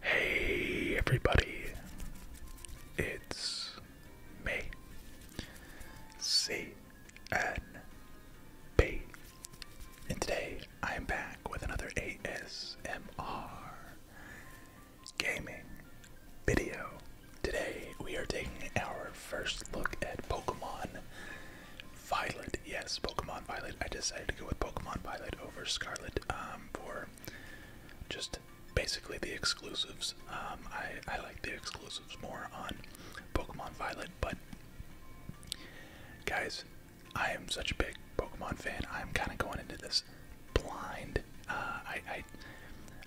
Hey everybody, it's me, CNB, and today I am back with another ASMR gaming video. Today we are taking our first look at Pokemon Violet. Yes, Pokemon Violet. I decided to go with Pokemon Violet over Scarlet um, for just basically the exclusives. Um, I, like the exclusives more on Pokemon Violet, but guys, I am such a big Pokemon fan. I'm kind of going into this blind. Uh, I,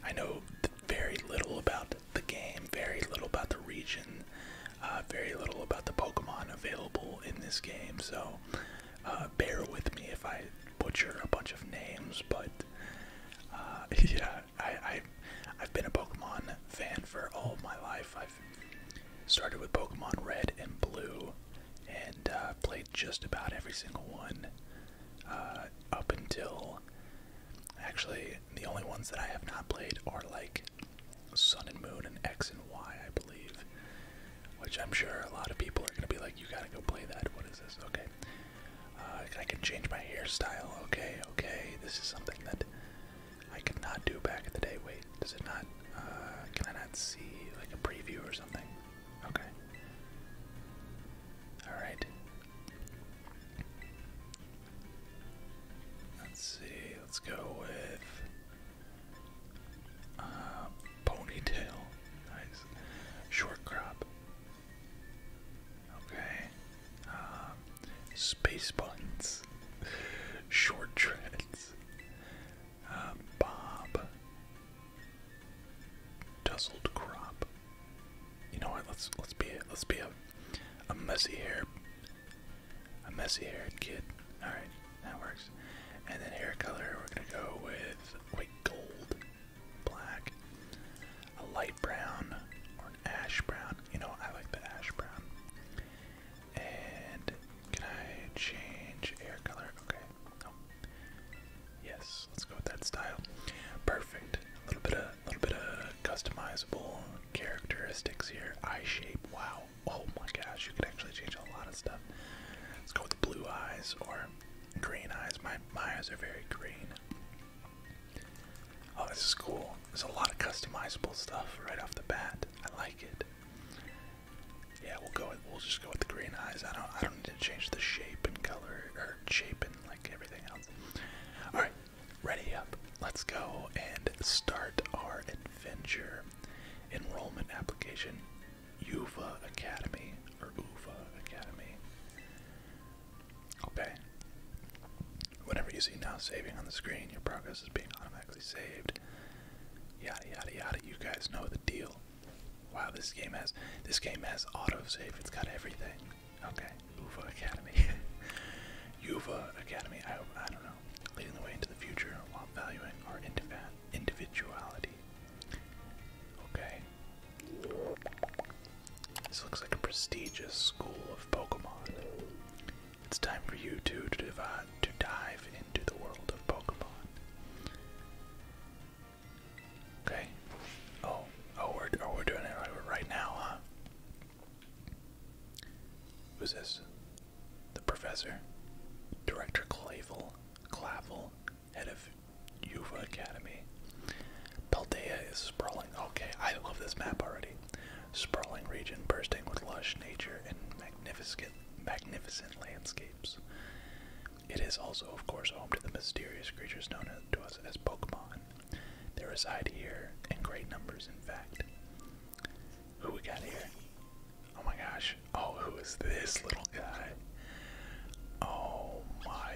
I know very little about the game, very little about the region, uh, very little about the Pokemon available in this game. So uh, bear with me if I butcher a bunch of names, but uh, yeah, I, I have been a Pokemon fan for all my life. I've started with Pokemon Red and Blue, and uh, played just about every single one up until. Actually, the only ones that I have not played are like Sun and Moon and X and Y, I believe which I'm sure a lot of people are gonna be like, you gotta go play that. What is this? Okay, uh, I can change my hairstyle. Okay, okay, this is something that I could not do back in the day. Wait, does it not? Uh, can I not see like a preview or something? Okay. All right. Let's see. Let's go with. Uh, ponytail. Nice. Short crop. Okay. Uh, space buns. Short treads. Uh, bob. Tousled crop. You know what? Let's let's be let's be a a messy hair a messy haired kid. All right. That works. And then hair color, we're gonna go with like gold, black, a light brown, or an ash brown. You know, I like the ash brown. And can I change hair color? Okay. No. Oh. Yes, let's go with that style. Perfect. A little bit of, a little bit of customizable characteristics here. Eye shape. Wow oh my gosh, you can actually change a lot of stuff. Let's go with blue eyes or green eyes. My, my eyes are very green. Oh, this is cool. There's a lot of customizable stuff right off the bat. I like it. Yeah, we'll go. With, we'll just go with the green eyes. I don't. I don't need to change the shape and color or shape and like everything else. All right, ready up. Let's go and start our adventure. Enrollment application. Uva Academy or Uva Academy. Okay. Whenever you see now saving on the screen, your progress is being automatically saved. Yada yada yada. You guys know the deal. Wow, this game has this game has auto save. It's got everything. Okay, Uva Academy. Uva Academy. I don't know. Leading the way into the future while valuing our individuality. Okay. This looks like a prestigious school of Pokemon. It's time for you two to, dive into the world of Pokemon. Okay. Oh, oh, are oh, we doing it right, now, Who's this? The professor, Director Clavel. Clavel, head of Yuva Academy. Paldea is sprawling. Okay, I love this map already. Sprawling region bursting with lush nature and magnificent, magnificent landscapes. It is also, of course, home to the mysterious creatures known to us as Pokemon. They reside here in great numbers, in fact. Who we got here? Oh my gosh. Oh, who is this little guy? Oh my.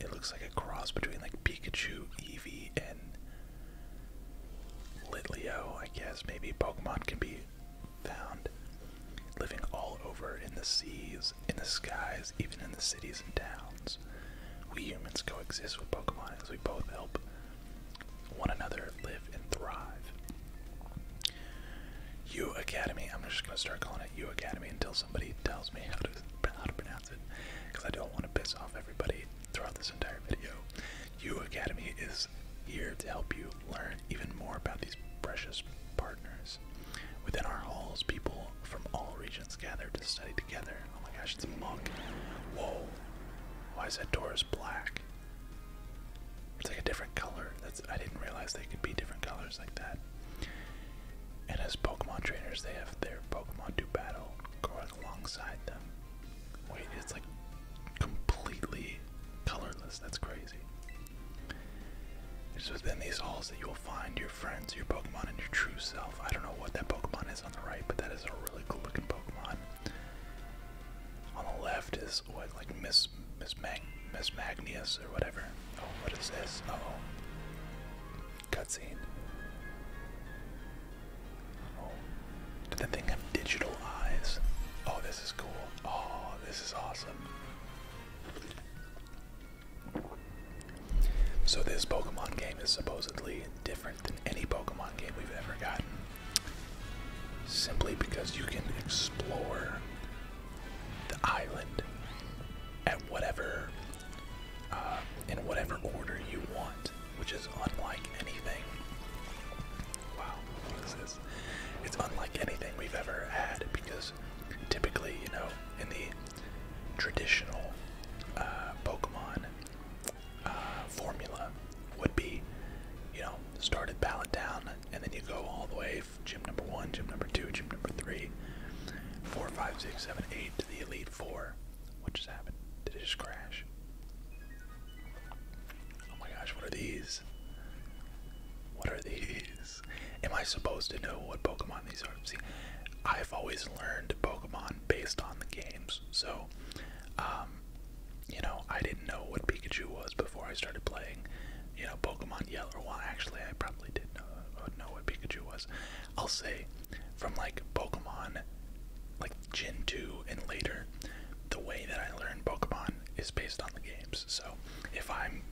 It looks like a cross between like Pikachu, Eevee, and Litleo, I guess. Maybe Pokemon can be found living all over in the seas, in the skies, even in the cities and towns. We humans coexist with Pokemon as we both help one another live and thrive. U Academy. I'm just gonna start calling it U Academy until somebody tells me how to how to pronounce it, because I don't want to piss off everybody throughout this entire video. U Academy is here to help you learn even more about these precious partners. Within our halls, people from all regions gather to study together. Oh my gosh, it's a monk. Whoa. Why is that door is black? It's like a different color. That's I didn't realize they could be different colors like that. And as Pokemon trainers, they have their Pokemon do battle going alongside them. Wait, it's like completely colorless. That's crazy. It's within these halls that you will find your friends, your Pokemon, and your true self. I don't know what that Pokemon is on the right, but that is a really cool looking Pokemon. On the left is what oh, like Miss Miss Mag Miss Magnius or whatever. Oh, what is this? oh, cutscene. did the thing have digital eyes? Oh, this is cool. Oh, this is awesome. So this Pokemon game is supposedly different than any Pokemon game we've ever gotten. Simply because you can explore the island at whatever uh, in whatever order you want, which is unlike anything. Wow, what is this? It's unlike anything we've ever had because typically, you know, in the traditional uh, Pokemon uh, formula would be, you know, start at Pallet Town and then you go all the way safe. Gym number one, gym number two, gym number three, four, five, six, seven, eight to the elite four. What just happened? Did it just crash? Oh my gosh, what are these? What are these? Am I supposed to know what Pokemon these are? See, I've always learned Pokemon based on the games, so um, you know, I didn't know what Pikachu was before I started playing you know, Pokemon Yellow. Well, actually, I probably did know, uh, know what Pikachu was. I'll say from like Pokemon, like Gen 2 and later, the way that I learned Pokemon is based on the games. So if I'm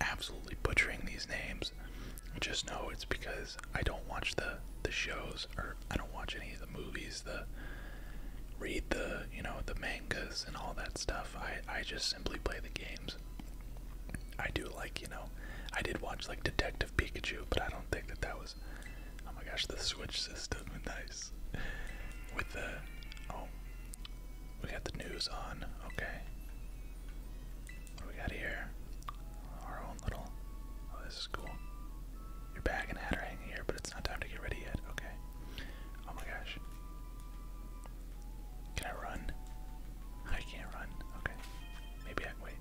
absolutely butchering these names, just know it's because I don't watch the the shows or I don't watch any of the movies, the read the you know the main and all that stuff. I I just simply play the games. I do like you know, I did watch like Detective Pikachu, but I don't think that that was. Oh my gosh, the Switch system, is nice. With the oh, we got the news on. Okay, what do we got here? Our own little. Oh, this is cool. Your bag and hat are hanging here, but it's not time to get ready yet. Okay. Oh my gosh. Can I run? I can't run. Okay. Maybe I can wait.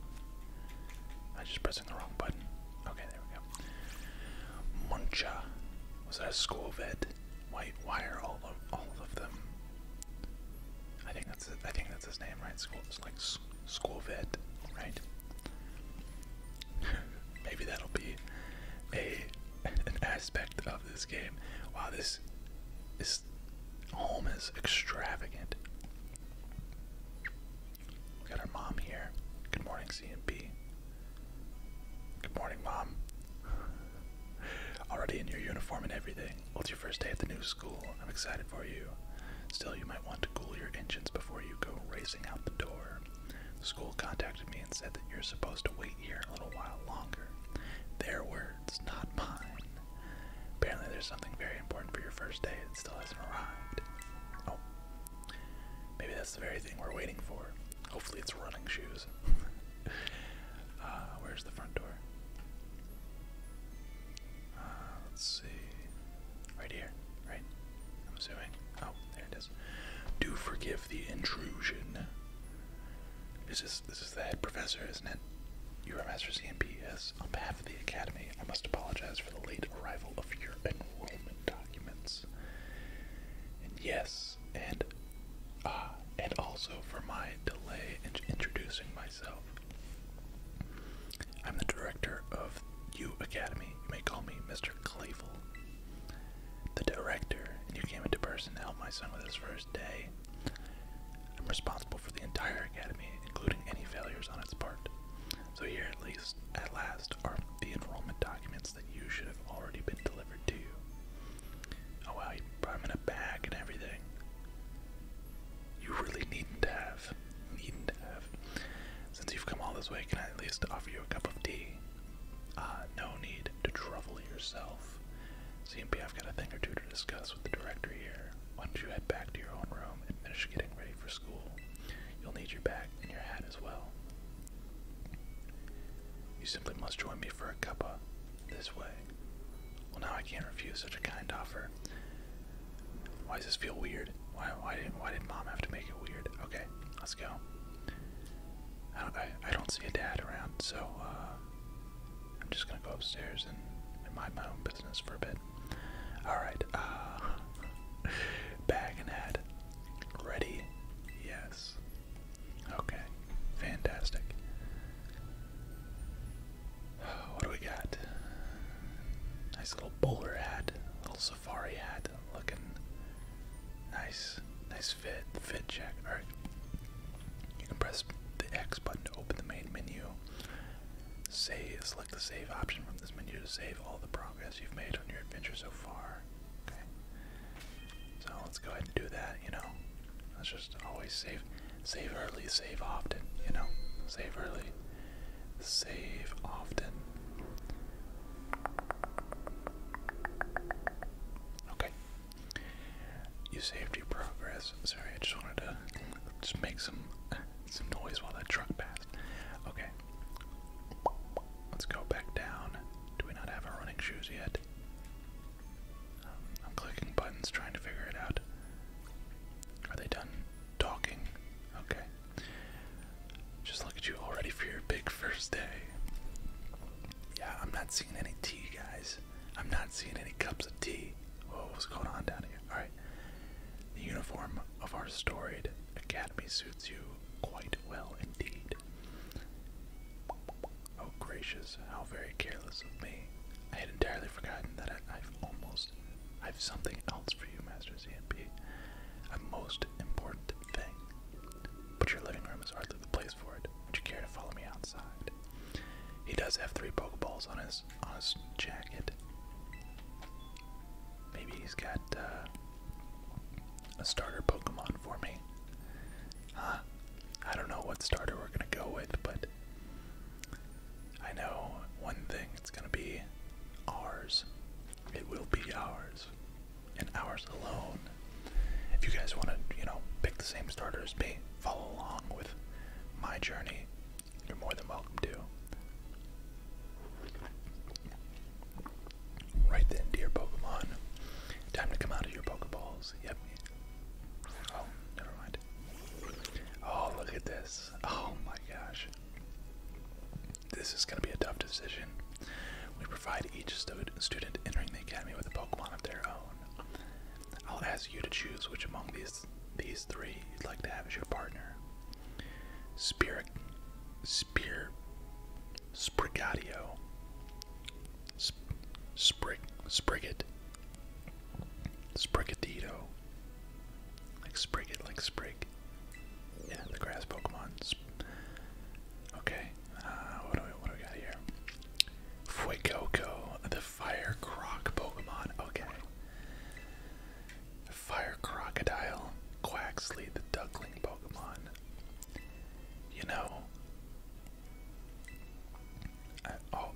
I'm just pressing the wrong button. Okay, there we go. Muncha. Was that a school vet? White wire all of all of them. I think that's it. I think that's his name, right? School it's like school vet, right? Maybe that'll be a an aspect of this game. Wow, this this home is extravagant. We got our mom here. Good morning, CMP. Good morning, mom. Already in your uniform and everything. Well, it's your first day at the new school. I'm excited for you. Still, you might want to cool your engines before you go racing out the door. The school contacted me and said that you're supposed to wait here a little while longer. Their words, not mine. Apparently, there's something very important for your first day that still hasn't arrived. Oh. Maybe that's the very thing we're waiting for. Hopefully, it's running shoes. Uh, where's the front door? Uh, let's see. Right here, right? I'm assuming. Oh, there it is. Do forgive the intrusion. This is this is the head professor, isn't it? You are Master CMP, yes. On behalf of the Academy, I must apologize for the late arrival of your enrollment documents. And yes, and uh, and also for my delay in introducing myself. I'm the director of U Academy. You may call me Mr. Clayful. The director, and you came into person to help my son with his first first I'm responsible for the entire academy, including any failures on its part. So here at least at last are the enrollment documents that you should have already been delivered to Oh wow, you brought them in a bag and everything. You really needn't have. Needn't have. Since you've come all this way, can I at least offer you a cup of tea? Ah, no need to trouble yourself. CMP, I've got a thing or two to discuss with the director here. Why don't you head back to your own room and finish getting ready for school? You'll need your bag and your hat as well. You simply must join me for a cuppa. This way. Well, now I can't refuse such a kind offer. Why does this feel weird? Why, why didn't why did mom have to make it weird? Okay, let's go. I don't, I don't see a dad around, so uh, I'm just gonna go upstairs and, and mind my own business for a bit. Alright, uh, bag and hat. Ready? Yes. Okay, fantastic. What do we got? Nice little bowler hat, little safari hat, looking nice, nice fit, fit check. Alright, you can press the X button to open the main menu. Save, select the save option from this menu to save all the progress you've made on your adventure so far. Okay. So let's go ahead and do that, you know. Let's just always save save early, save often, you know. Save early. Save often. Okay, you saved your progress. Sorry, I just wanted to just make some some noise while that truck passed. Okay. Let's go back down. Do we not have running shoes yet? Um, I'm clicking buttons trying to figure it out. Are they done talking? Okay. Just look at you already for your big first day. Yeah, I'm not seeing any tea, guys. I'm not seeing any cups of tea. Whoa, what's going on down here? Alright. The uniform of our storied academy suits you quite well indeed. Oh gracious, how very careless of me. I had entirely forgotten that I, have almost. I've something else for you, Master CMP. A most important thing. But your living room is hardly the place would you care to follow me outside? He does have three Pokeballs on his on his jacket. Maybe he's got uh, a starter Pokemon for me. Huh? I don't know what starter we're gonna go with, but I know one thing: it's gonna be ours. It will be ours, and ours alone. If you guys want to, you know, pick the same starters, as follow along with my journey, you're more than welcome to. Right then, dear Pokemon, time to come out of your Pokeballs. Yep. Oh, never mind. Oh, look at this. Oh my gosh. This is going to be a tough decision. We provide each student entering the academy with a Pokemon of their own. I'll ask you to choose which among these these three you'd like to have as your partner. Spirit Spear Sprigatio Sp Sprig Sprigat Sprigatito. Like Sprigat, like Sprig. Yeah, the grass Pokemon. Sp okay, uh, what do we what do we got here? Fuecoco, the fire croc Pokemon. Okay. Fire crocodile, Quaxley, the duckling Pokemon. You know, I, uh, oh,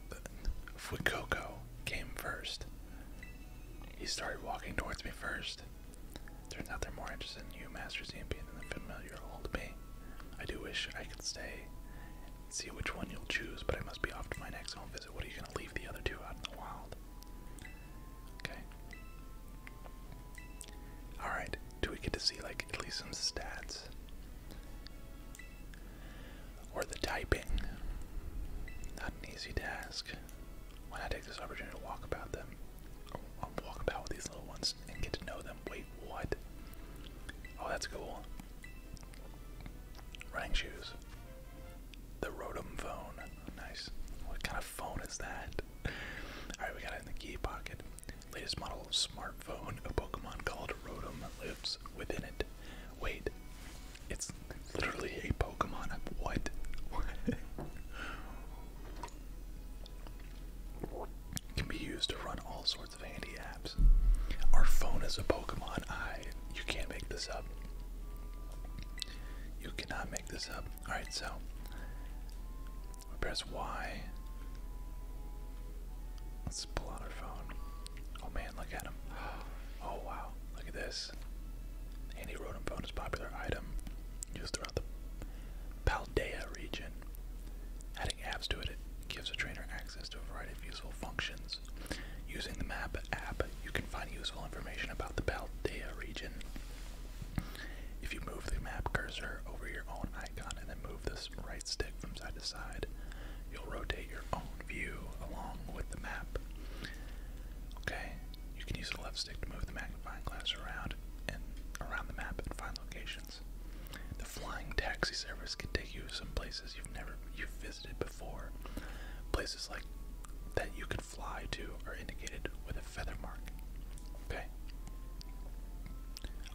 Fuecoco came first. He started walking towards me first. Turns out they're more interested in you, Master Zampian, than the familiar old me. I do wish I could stay see which one you'll choose, but I must be off to my next home visit. What are you going to leave the other two out in the wild? Okay. Alright, do we get to see, like, at least some stats? Or the typing? Not an easy task. Why not take this opportunity to walk about them? walk about with these little ones and get to know them. Wait, what? Oh, that's cool. Running shoes. The Rotom phone. Nice. What kind of phone is that? Alright, we got it in the key pocket. Latest model smartphone. A Pokemon called Rotom lives within it. Wait. It's literally a Pokemon. What? Can be used to run all sorts of handy apps. Our phone is a Pokemon. I you can't make this up. You cannot make this up. Alright, so we press Y. Let's pull out our phone. Oh man, look at him. Oh wow, look at this. Andy Rodham phone is popular item used throughout the Paldea region. Adding apps to it, gives a trainer access to a variety of useful functions. Using the map app, you can find useful information about the Paldea region. If you move the map cursor over your own icon and then move this right stick from side to side, you'll rotate your own view along with the map. Okay, you can use the left stick to move the magnifying glass around and around the map and find locations the flying taxi service can take you to some places you've never you've visited before. Places like that you could fly to are indicated with a feather mark. Okay.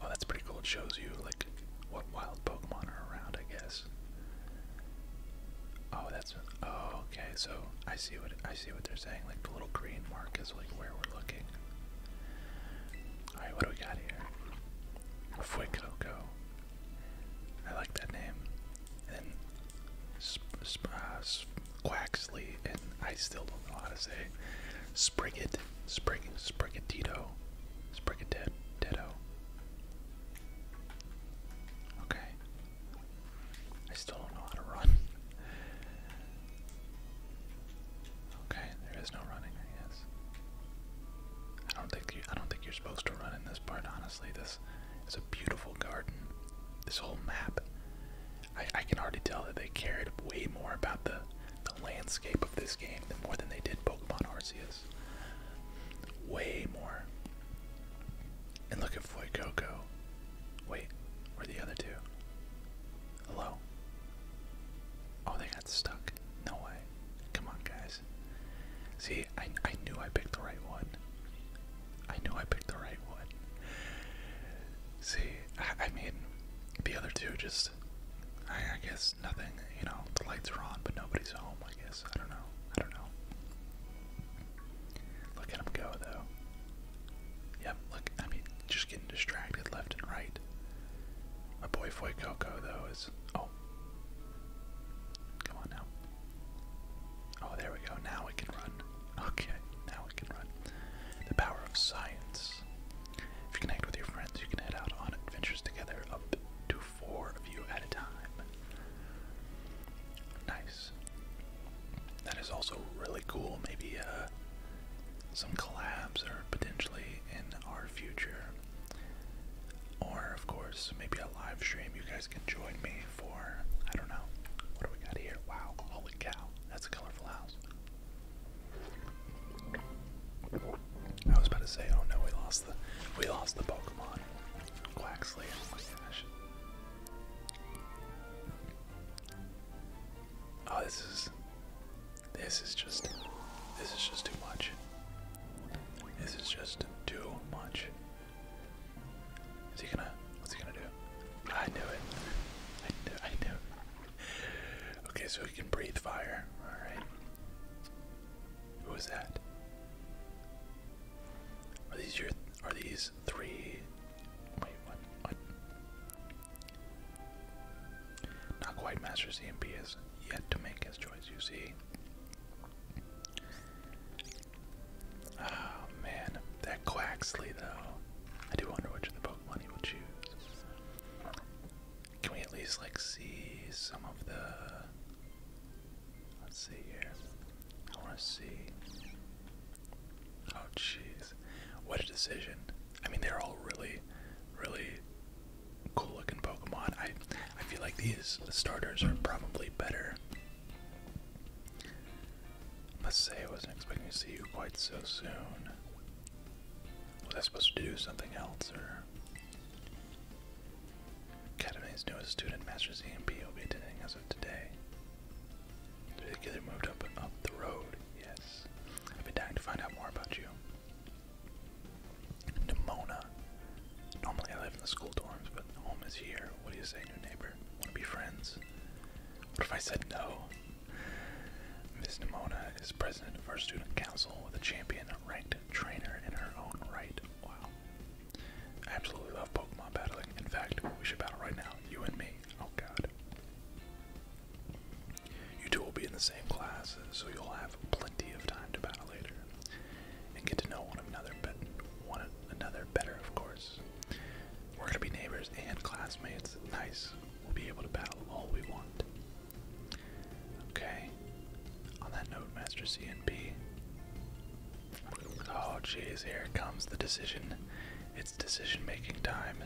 Oh, that's pretty cool. It shows you like what wild Pokemon are around, I guess. Oh, that's oh, okay. So I see what I see what they're saying. Like the little green mark is like where we're looking. Alright, what do we got here? Fuecoco. I like that name. then sp uh, and I still don't know how to say Spriggett, Sprig Sprigatito, Okay. I still don't know how to run. Okay, there is no running, I I don't think you, I don't think you're supposed to run in this part. Honestly, this is a beautiful garden. This whole map, I, I can already tell that they cared way more about the the landscape of this game than more than they did Pokemon Arceus. Way more. And look at Foy Coco. Wait, where are the other two? Hello. Oh, they got stuck. No way. Come on, guys. See, I, knew I picked the right one. I knew I picked the right one. See, I, mean, the other two just, I, guess nothing, you know, the lights are on, but nobody's home, I guess. I don't know. I don't know. Look at him go, though. Yep, look, I mean, just getting distracted left and right. My boy Foy Coco, though, is. Oh, Come on now. Oh, there we go. Now we can run. Okay, now we can run. The power of science. If you connect with your friends, you can head out on adventures together, up to four of you at a time. Nice. That is also really cool. Maybe uh, some collabs are potentially in our future. Or, of course, maybe a live stream. You guys can join me for, I don't know, what do we got here? Wow, holy cow, that's a colorful house. I was about to say, oh no, we lost the, we lost the Pokemon. Quaxley, oh, oh, this is, this is just, this is just too much. This is just too much. Is he gonna? What's he gonna do? I knew it. I knew. Okay, so he can breathe fire. All right. Who is that? Are these your? Are these three? Wait, what? What? Not quite Master CMP is yet to make his choice, you see. Oh man, that Quaxley though. I do wonder which of the Pokemon he will choose. Can we at least like see some of the let's see here. I wanna see. Oh jeez. What a decision. I mean they're all really, really cool looking Pokemon. I I feel like these starters are probably better. Must say I wasn't expecting to see you quite so soon. Was I supposed to do something else or Academy's newest student, Master ZMP, will be attending as of today. Particularly moved up up the road, yes. I've been dying to find out more about you. Nimona. Normally I live in the school dorms, but home is here. What do you say, new neighbor? Wanna be friends? What if I said no? Miss Nimona is president of our student council with a champion ranked trainer in her own right. Wow. I absolutely love Pokemon battling. In fact, we should battle right now, you and me. Oh god. You two will be in the same class, so you'll have plenty of time to battle later and get to know one another, but one another better, of course. We're gonna be neighbors and classmates. Nice. We'll be able to battle all we want. Okay. On that note, Master CNP. Oh, jeez, here comes the decision. It's decision-making time.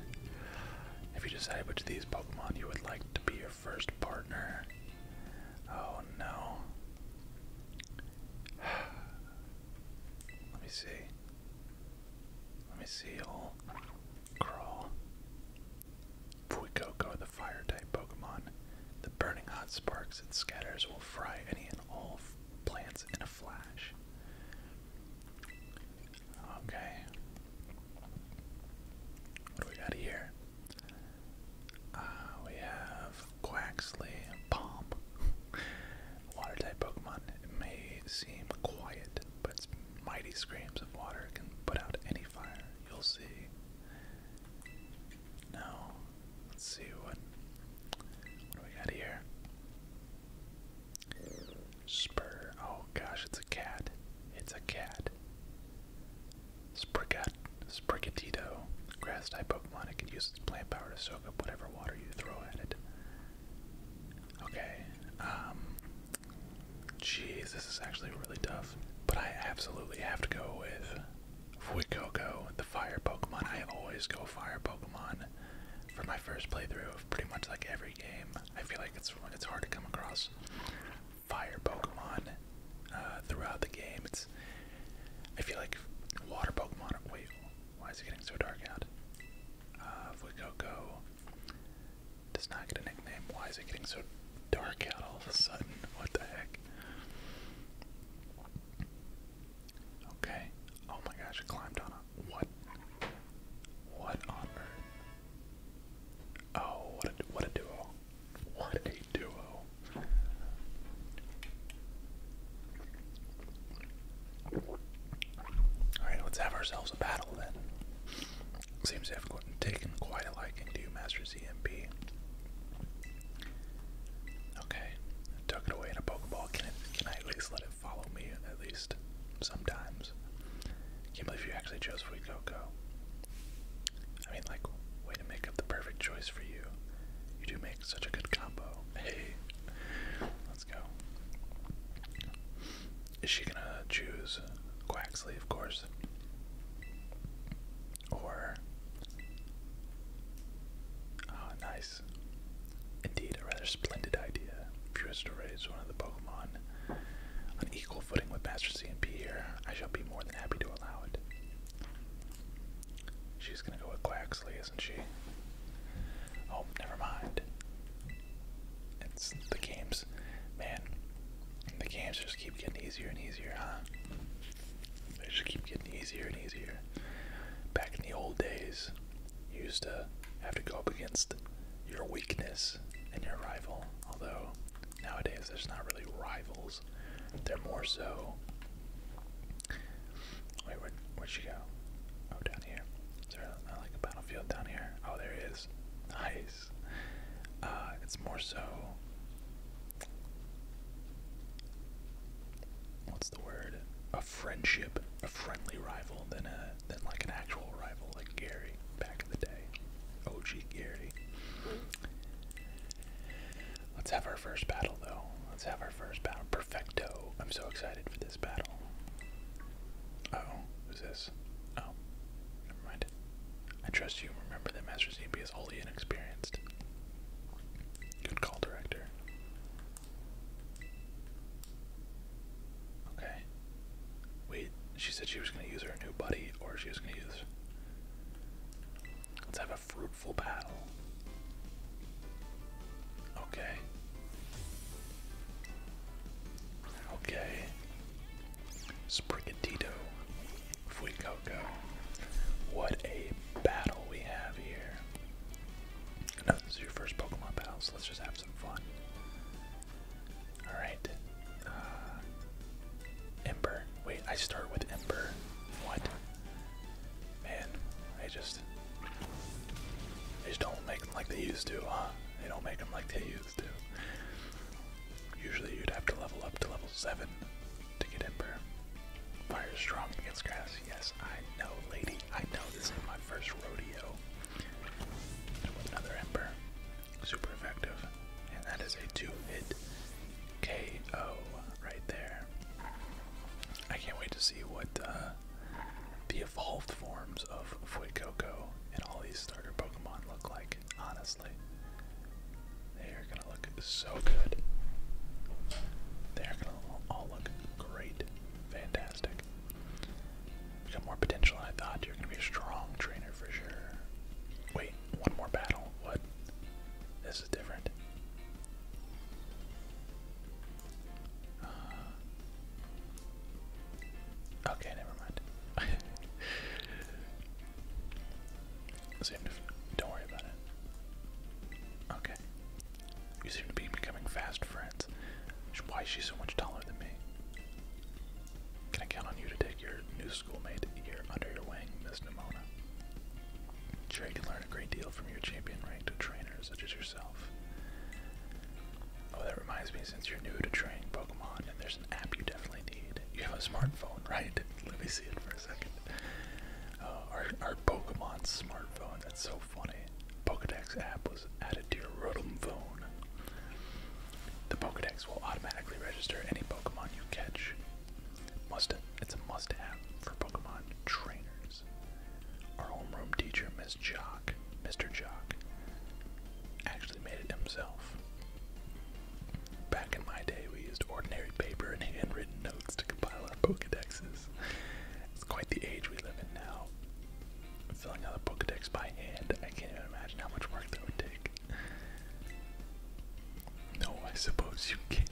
If you decide which of these Pokemon you would like to be your first partner? Oh no. Let me see. Let me see. i crawl. Fuecoco, the fire type Pokemon. The burning hot sparks it scatters will fry any and all plants in a flash. Okay. What do we got here? Uh, we have Quaxley Bomb. water type Pokemon. may seem quiet, but its mighty screams of water can put out any fire. You'll see. Now, let's see what what do we got here. Spur. Oh gosh, it's a cat. It's a cat. Sprigat Sprigatito. Grass type Pokemon. It can use its plant power to soak up whatever water you throw at it. Okay. Um Jeez, this is actually really tough. But I absolutely have to go with Fuecoco, the fire Pokemon. I always go fire Pokemon for my first playthrough of pretty much like every game. I feel like it's it's hard to come across fire Pokemon uh, throughout the game. It's I feel like water Pokemon. Wait, why is it getting so dark out? Uh, Fuecoco does not get a nickname. Why is it getting so dark out all of a sudden? What the heck? Okay. Oh my gosh, climbed on what? What on earth? Oh, what a what a duo! What a duo. Oh. Alright, let's have ourselves a battle then. Seems to have taken quite a liking to you, Master ZMP. Okay, tuck it away in a Pokeball. Can, I at least let it follow me, at least sometimes? Can't believe you actually chose Fuecoco. I mean, like, way to make up the perfect choice for you. You do make such a good combo. Hey, let's go. Is she gonna choose Quaxley, of course? Or. Ah, nice. Indeed, a rather splendid idea. Furious to raise one of the Pokemon on equal footing with Master C and P here. I shall be more than happy to allow it. She's gonna go with Claxley, isn't she? Oh, never mind. It's the games. Man, the games just keep getting easier and easier, huh? They just keep getting easier and easier. Back in the old days, you used to have to go up against your weakness and your rival. Although, nowadays, there's not really rivals. They're more so. where, would she go? Oh, down here. Is there like a battlefield down here? Oh, there it is. Nice. Uh, it's more so. What's the word? A friendship, a friendly rival than a than like an actual rival, like Gary back in the day. OG Gary. Let's have our first battle, though. Let's have our first battle. Perfecto. I'm so excited for this battle. oh, who's this? Oh, never mind. I trust you. Remember that Master ZB is wholly inexperienced. Good call, director. Okay. Wait, she said she was going to use her new buddy, or she was going to use. Let's have a fruit Fruitful battle. Okay. Okay. Sprigatito. Fuecoco. What a battle we have here. No, this is your first Pokemon battle, so let's just have some fun. Alright. Uh, Ember. Wait, I start with Ember. What? Man, they just they don't make them like they used to, They don't make them like they used to. Usually you'd have to level up to level 7 to get Ember. Fire is strong against grass. Yes, I know, lady. I know this is my first rodeo. another Ember. Super effective. And that is a two hit KO right there. I can't wait to see what uh, the evolved forms of Fuecoco and all these starter Pokemon look like, honestly. They are gonna look so good. They are gonna all look great. Fantastic. You have got more potential than I thought. You're gonna be a strong trainer for sure. Wait, one more battle. What? This is different. Uh, okay, never mind. don't worry about it. Okay. You seem to be becoming fast friends. Why is she so much taller than me? Can I count on you to take your new schoolmate year under your wing, Ms. Nimona. I'm sure you can learn a great deal from your champion ranked trainers, such as yourself. Oh, that reminds me, since you're new to training Pokemon, and there's an app you definitely need. You have a smartphone, right? Let me see it for a second. Uh, our, Pokemon smartphone, that's so funny. Pokedex app was added to your Rotom phone. The Pokedex will automatically register any Pokemon you catch, must it's a must-have for Pokemon trainers. Our homeroom teacher, Miss Jock, Mr. Jock, actually made it himself. Back in my day, we used ordinary paper and handwritten notes to compile our Pokedexes. It's quite the age we live in now. Filling out a Pokedex by hand, I can't even imagine how much work that would take. No, I suppose you can't.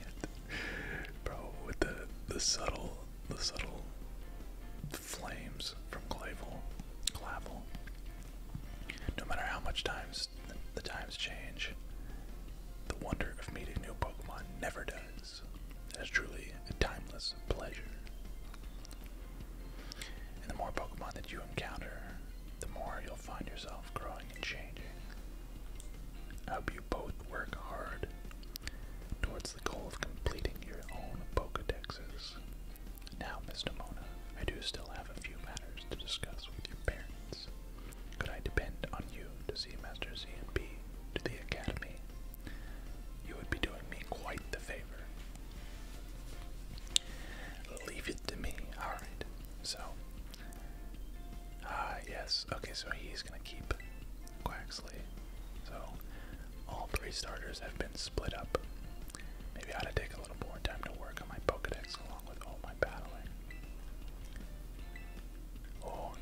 Bro, with the the subtle the subtle flames from Clavel. Clavel. No matter how much times the, the times change, the wonder of meeting new Pokemon never does. It is truly a timeless pleasure. And the more Pokemon that you encounter, the more you'll find yourself growing and changing. I hope you both work hard towards the goal of completing your own Pokedexes. Now, Miss Mona, I do still have a few matters to discuss with your parents. Could I depend on you to see Master Z and B to the academy? You would be doing me quite the favor. Leave it to me. Alright, so Ah, yes. Okay, so he's going to keep Quaxley. So all three starters have been split up. Maybe I ought to take a little more time to work on my Pokedex along with all my battling. Oh,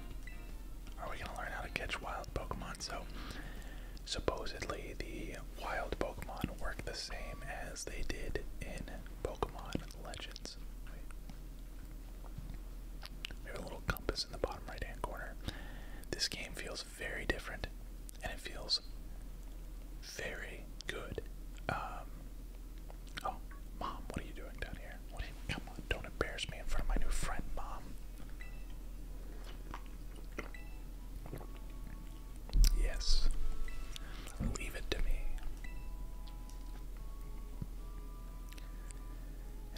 are we going to learn how to catch wild Pokemon? So supposedly the wild Pokemon work the same as they did in Pokemon Legends directions. a little compass in the bottom right hand corner. This game feels very different and it feels very good. Um, oh, mom, what are you doing down here? come on, don't embarrass me in front of my new friend, mom. Yes, leave it to me.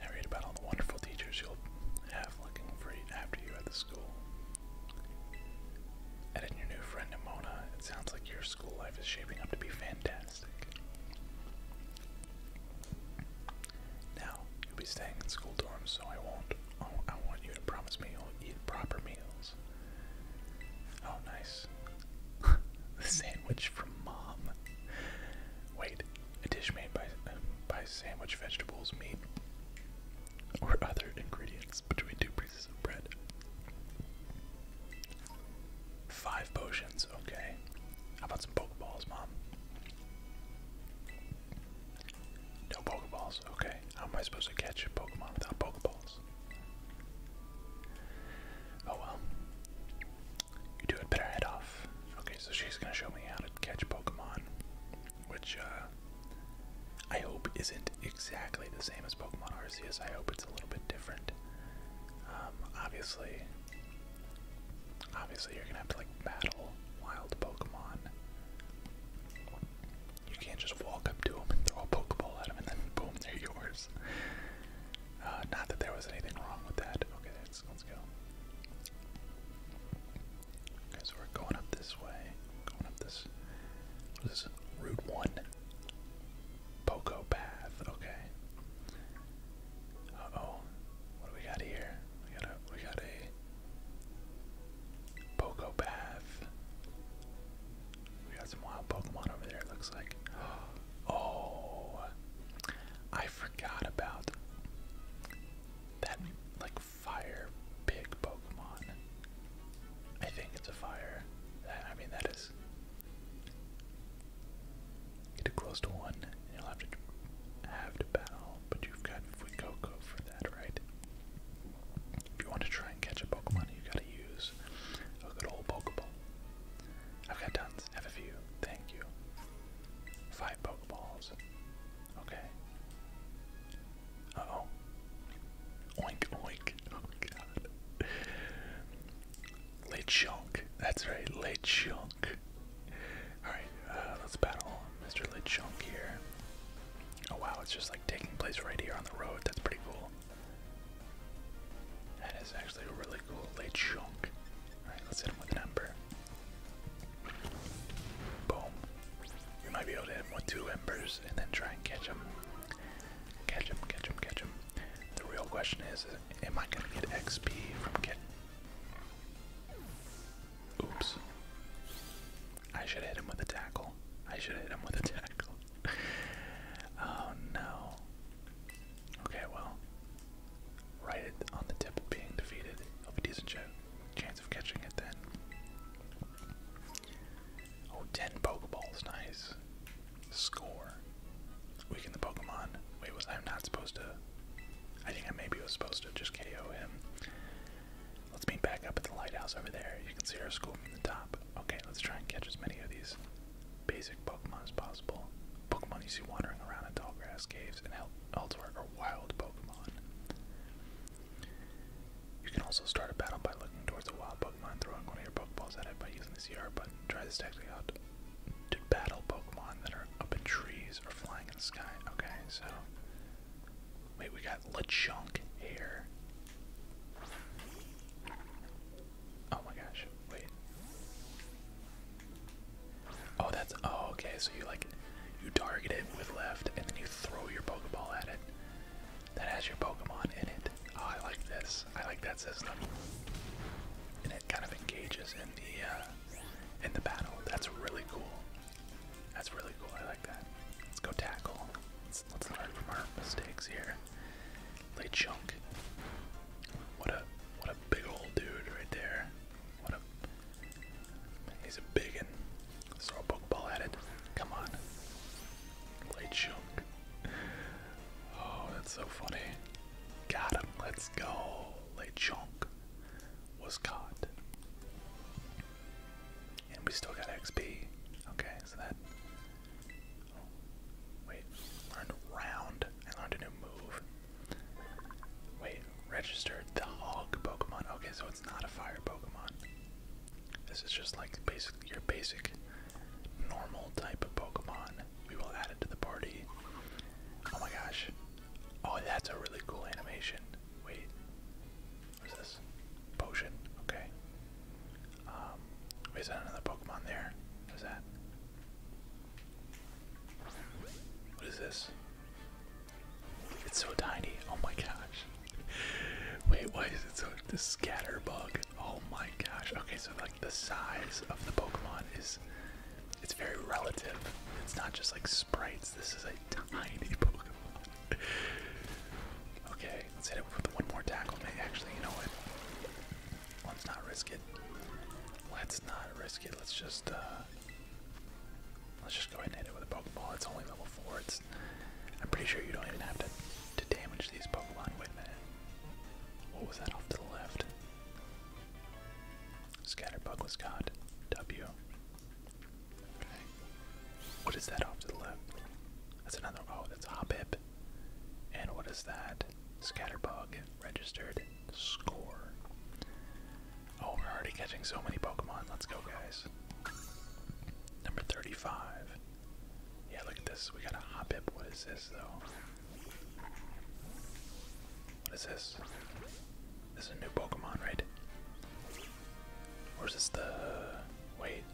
I read about all the wonderful teachers you'll have looking for you after you at the school. And in your new friend Amona, it sounds like your school life is shaping up to be fantastic. Now, you'll be staying in school dorms, so I won't. Oh, I want you to promise me you'll eat proper meals. Oh, nice. the same which from mom. Wait, a dish made by by sandwich vegetables, meat, or other ingredients between two pieces of bread. Five potions, okay. How about some pokeballs, mom? No pokeballs, okay. How am I supposed to catch a Pokemon without pokeballs? Oh well. You do it, better head off. Okay, so she's gonna show me how to catch Pokemon, which uh, I hope isn't exactly the same as Pokemon Arceus. I hope it's a little bit different. Um, obviously, obviously you're gonna have to like battle wild Pokemon. You can't just walk up to them and throw a Pokeball at them and then boom, they're yours. Uh, not that there was anything wrong with that. Okay, let's, go. so we're going up this way. Going up this. this? Route 1. Poco Path. Okay. Uh oh. What do we got here? We got a. We got a. Poco Path. We got some wild Pokemon over there, looks like. Oh, Oh, I forgot about that like fire pig Pokemon. I think it's a fire. I mean, that is. Get close to one, you'll have to have to battle. But you've got Fuecoco for that, right? If you want to try and catch a Pokemon, you gotta use a good old Pokeball. I've got tons have a few. Thank you. Five Pokeballs. Okay. Uh oh. Oink, oink. Oh god. Lechonk. That's right, Lechonk. Alright, uh, let's battle Mr. Lechonk here. Oh wow, it's just like taking place right here on the road. That's pretty cool. That is actually really really cool. Lechonk. Alright, let's hit him with an ember. Boom. We might be able to hit him with two embers and then try and catch him. Catch him, catch him, catch him. The real question is, am I gonna get XP from getting Oops. I should hit him with a tackle. I should hit him with a tackle. oh no. Okay, well, right at, on the tip of being defeated. He'll be decent ch chance of catching it then. Oh, 10 Pokeballs, nice. Score. Weaken the Pokemon. Wait, was I not supposed to? I think I maybe was supposed to just KO him. Let's meet back up at the lighthouse over there. You can see our school from the top. Okay, let's try and catch as many of these basic Pokemon as possible. Pokemon you see wandering around in tall grass caves and elsewhere are wild Pokemon. You can also start a battle by looking towards a wild Pokemon and throwing one of your Pokeballs at it by using the CR button. Try this technique out to battle Pokemon that are up in trees or flying in the sky. Okay, so. Wait, we got LeChunk here. Oh my gosh, wait. Oh, that's oh okay. So you like you target it with left, and then you throw your Pokeball at it. That has your Pokemon in it. Oh, I like this. I like that system, and it kind of engages in the uh, in the battle. That's really cool. That's really cool. I like that. Let's go tackle. Let's, let's learn from our mistakes here. They chunk. What a what a big old dude right there. What a he's a big and throw a pokeball at it. Come on. Play chunk. Oh, that's so funny. Got him. Let's go. Le Chonk was caught. And we still got XP. Okay, so that. Oh, wait. Learned round. I learned a new move. Wait, registered the hog Pokemon. Okay, so it's not a fire Pokemon. This is just like basic your basic normal type of Pokemon. We will add it to the party. Oh my gosh. Oh, that's a really cool animation. Wait. What's this? Potion. Okay. Um, is that another Pokemon there? What is that? What is this? It's so tiny. Oh my gosh. Wait, why is it so the scatterbug? Oh my gosh. Okay, so like the size of the Pokemon is it's very relative. It's not just like sprites. This is a tiny Pokemon. okay, let's hit it with one more tackle. Maybe actually, you know what? Let's not risk it. Let's not risk it. Let's just uh let's just go ahead and hit it with a Pokeball. It's only level four. It's I'm pretty sure you don't even have to to damage these Pokemon. with a minute. What was that off to the left? Scatterbug was caught. W. Okay. What is that off to the left? That's another oh, that's Hobbit. And what is that? Scatterbug registered score. Oh, we're already catching so many Pokemon. Let's go, guys. Number 35. Yeah, look at this. We got a Hoppip. What is this, though? What is this? This is a new Pokemon, right? Or is this the. Wait.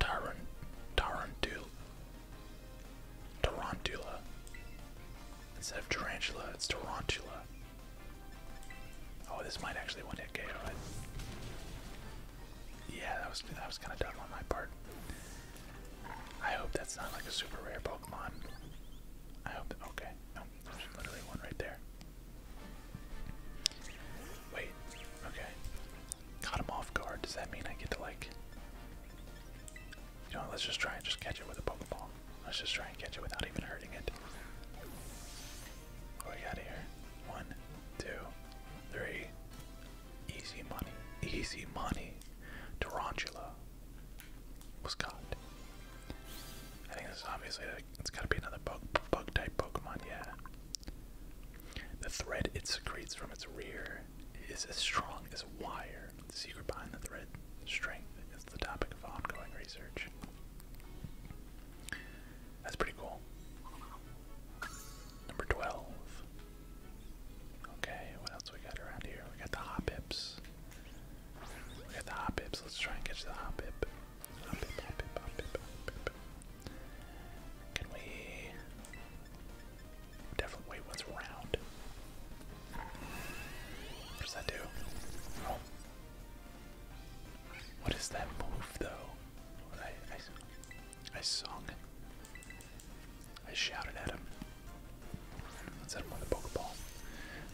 Tyrant. Tarantul. Tarantula. Instead of tarantula, it's tarantula. Oh, this might actually one hit KO it. Yeah, that was that was kind of dumb on my part. I hope that's not like a super rare Pokemon. I hope. okay, no, oh, there's literally one right there. Wait, okay. Caught him off guard. Does that mean I get to like? You know, let's just try and just catch it with a Pokeball. Let's just try and catch it without even hurting it. What we got here? One, two, three. Easy money. Easy money. Tarantula was caught. I think this obviously it's got to be another bug type Pokemon. Yeah. The thread it secretes from its rear is as strong as wire. The secret behind the thread strength is the topic of ongoing research. That's pretty cool. Number 12. Okay, what else we got around here? We got the hop hips. We got the hop hips. Let's try and catch the hop hip. Can we Definitely, wait, what's round? What does that do? Oh. What is that move, though? I, I, I sung. I shouted at him. Let's hit him with a Pokeball.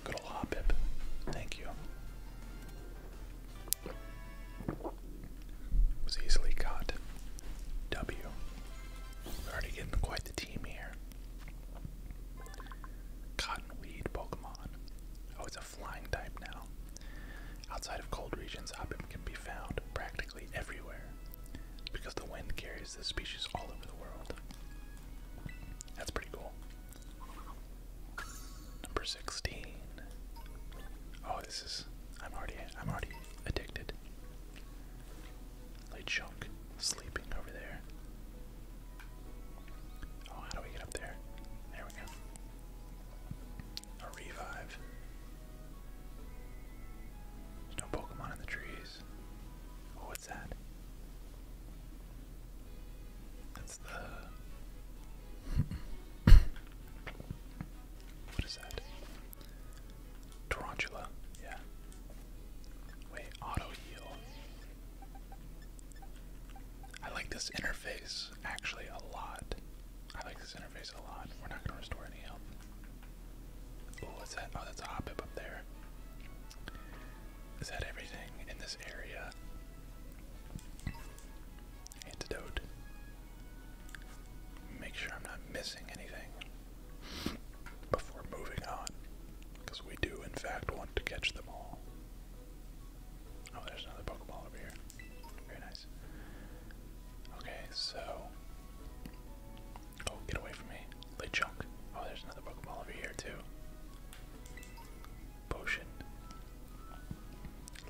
Good ol' Hoppip. Thank you. Was easily caught. W. already getting quite team here. Cottonweed Pokemon. Oh, it's a flying type now. Outside of cold regions, Hoppip can be found practically everywhere because the wind carries this species all over the world. That's pretty cool. Number 16. Oh, this is I'm already I'm already addicted. Lay Chunk sleeping over there. Oh, how do we get up there? There we go. A revive. no Pokemon in the trees. Oh, what's that? That's the. what is that? Tarantula, yeah. Wait, auto heal. I like this interface actually a lot. I like this interface a lot. We're not gonna restore any health. Oh, what's that? Oh, that's a hobbit up there. Is that everything in this area? Antidote. Make sure I'm not missing anything before moving on, because we do, in fact, want to catch them all. Oh, there's another Pokeball over here. Very nice. Okay, so. Oh, get away from me. Lechunk. Oh, there's another Pokeball over here, too. Potion.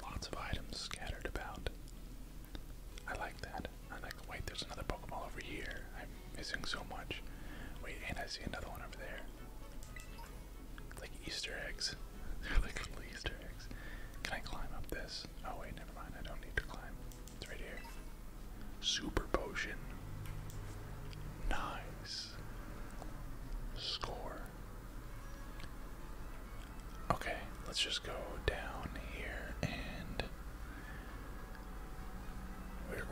Lots of items scattered about. I like that. I wait, there's another Pokeball over here. I'm missing so much. Wait, and I see another one over there. like Easter eggs. They're like little Easter eggs. Can I climb up this? Oh wait, never mind. I don't need to climb. It's right here. Super potion. Nice. Score. Okay, let's just go down here and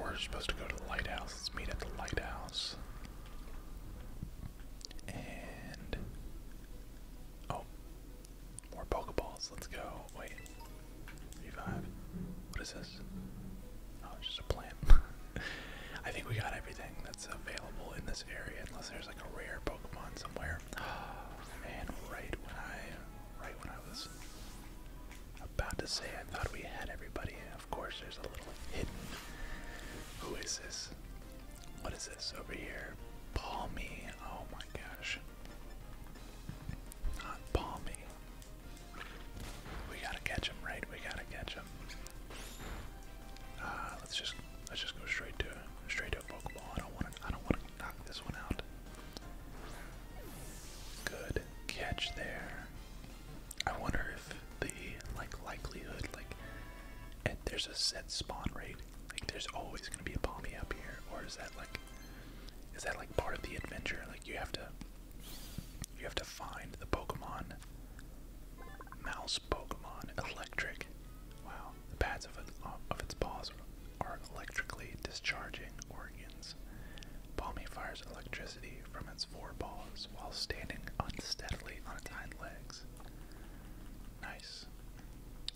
we're, supposed to go to the lighthouse. Let's meet at the lighthouse. And. Oh. More Pokeballs. Let's go. Wait. Revive. What is this? Oh, it's just a plant. I think we got everything that's available in this area, unless there's like a rare Pokemon somewhere. Oh, right when I, right when I was about to say I thought we had everybody, of course there's a little hidden. Who is this? What is this over here? Palmy. Oh my gosh. Not palmy. We gotta catch him, right? We gotta catch him. Uh, let's just let's just go straight to straight to a Pokeball. I don't want to I don't want to knock this one out. Good catch there. I wonder if the like likelihood like and there's a set spawn rate. Like there's always gonna be a pommy up here, or is that like is that like part of the adventure? Like you have to you have to find the Pokemon mouse Pokemon electric. Wow, the pads of, it, of its paws are electrically discharging organs. Palmy fires electricity from its four balls while standing unsteadily on its hind legs. Nice.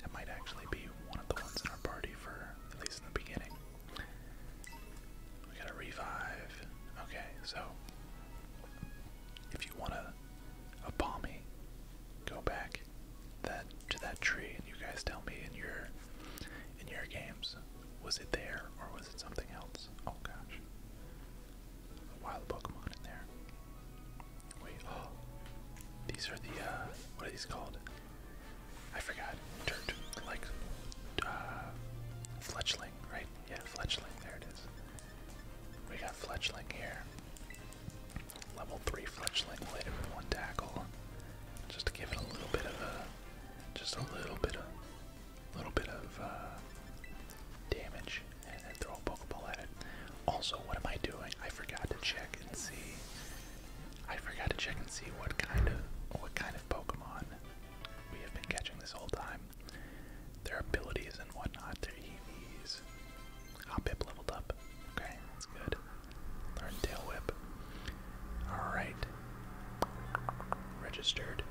That might actually be one of the ones in our party for at least in the beginning. We gotta revive. Okay, so if you want to a palmy, go back that to that tree and you guys tell me in your in your games was it there or was it something else? Oh gosh. A wild Pokemon in there. Wait, oh. These are the, uh, what are these called? I forgot. Dirt. Like, uh, Fletchling, right? Yeah, Fletchling. There it is. We got Fletchling here. Level 3 Fletchling, hit one tackle. Just to give it a little bit of a just a little bit of, little bit of uh, damage, and then throw a Pokeball at it. Also, what am I doing? I forgot to check and see. I forgot to check and see what kind of, what kind of Pokemon we have been catching this whole time. Their abilities and whatnot. Their EVs. Hopip leveled up. Okay, that's good. Learn Tail Whip. Alright. Registered.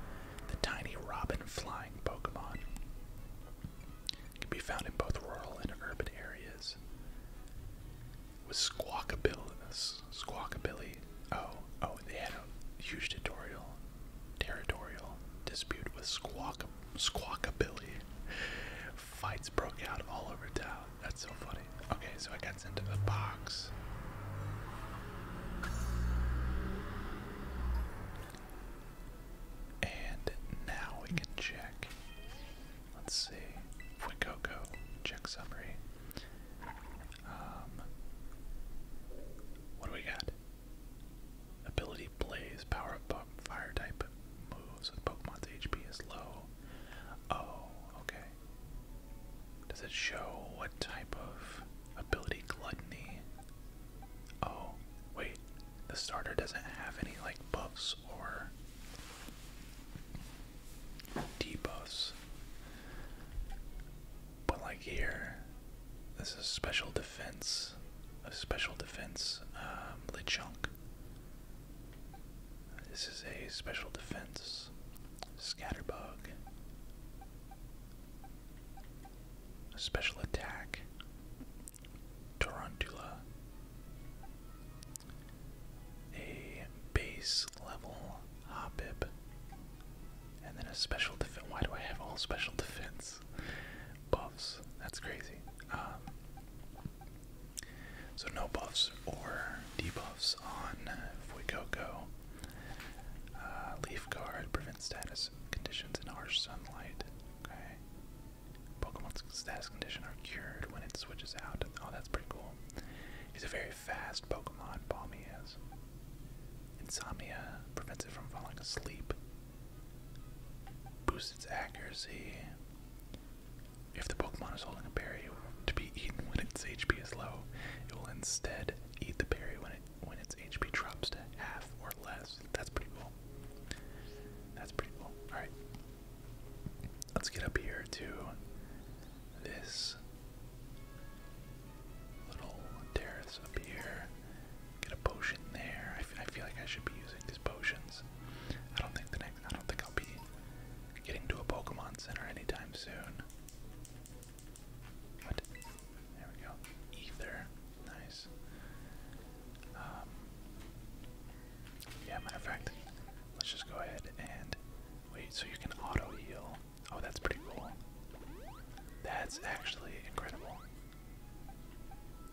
The tiny robin flying Pokemon. can be found in both rural and urban areas. With Squawkabilly. Squawkabilly. Oh, oh, they had a huge tutorial, territorial dispute with Squawk, Squawkabilly. Fights broke out all over town. That's so funny. Okay, so it gets into the box. And now we can check. Let's see. Fuecoco, check summary. Um, what do we got? Ability Blaze, power up fire type moves with Pokemon's HP is low. Oh, okay. Does it show what type of ability gluttony? Oh, wait. The starter doesn't have any like buffs or debuffs. But like here, this is special defense, a special defense um, Lichunk. This is a special defense Scatterbug. Special attack. Tarantula. A base level Hoppip. And then a special defense. Why do I have all special defense buffs? That's crazy. Um, so no buffs or debuffs on Fuecoco. Uh, leaf guard prevents status conditions in harsh sunlight. Okay. Pokemon's status condition are cured when it switches out. Oh, that's pretty cool. He's a very fast Pokemon. Balmy is. Insomnia prevents it from falling asleep. Boosts its accuracy. If the Pokemon is holding a berry to be eaten when its HP is low. It will instead eat the berry when it when its HP drops to half or less. That's pretty cool. That's pretty cool. All right, let's get up here to this little terrace up here. Get a potion there. I, I feel like I should be using these potions. I don't think the next. I don't think I'll be getting to a Pokemon Center anytime soon. What? There we go. Ether. Nice. Um, yeah, matter of fact, let's just go ahead and wait. So you can auto heal. Oh, that's pretty cool. That's actually incredible.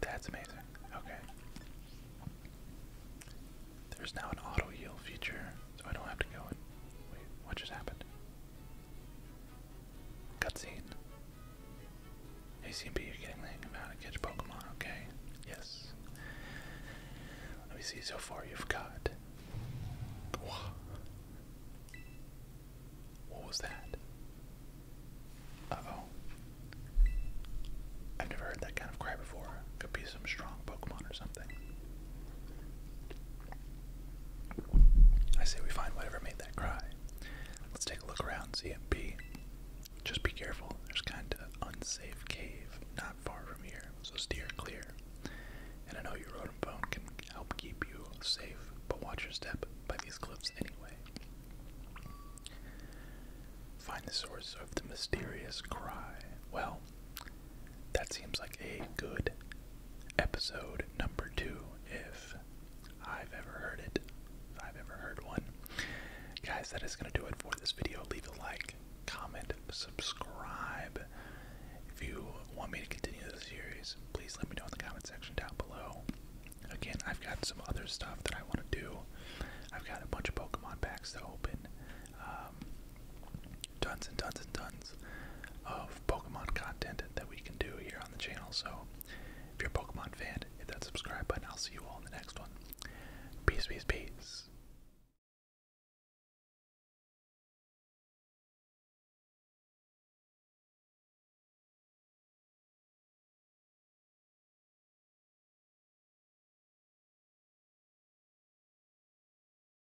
That's amazing. Okay. There's now an auto heal feature. So I don't have to go wait, what just happened? Cutscene. Hey you're getting the amount of catch Pokemon, okay? Yes. Let me see how far you've got. What was that? Uh oh. I've never heard that kind of cry before. Could be some strong Pokemon or something. I say we find whatever made that cry. Let's take a look around CMP. Just be careful, there's kind of an unsafe cave not far from here, so steer clear. And I know your road and phone can help keep you safe, but watch your step by these cliffs anyway. Find the source of the mysterious cry. Well, that seems like a good episode number two, if I've ever heard it. I've ever heard one. Guys, that is going to do it for this video. Leave a like, comment, subscribe. If you want me to continue this series, please let me know in the comment section down below. Again, I've got some other stuff that I want to do. I've got a bunch of Pokemon packs to open. Um, tons and tons and tons of Pokemon content that we can do here on the channel. So if you're a Pokemon fan, hit that subscribe button. I'll see you all in the next one. Peace, peace, peace.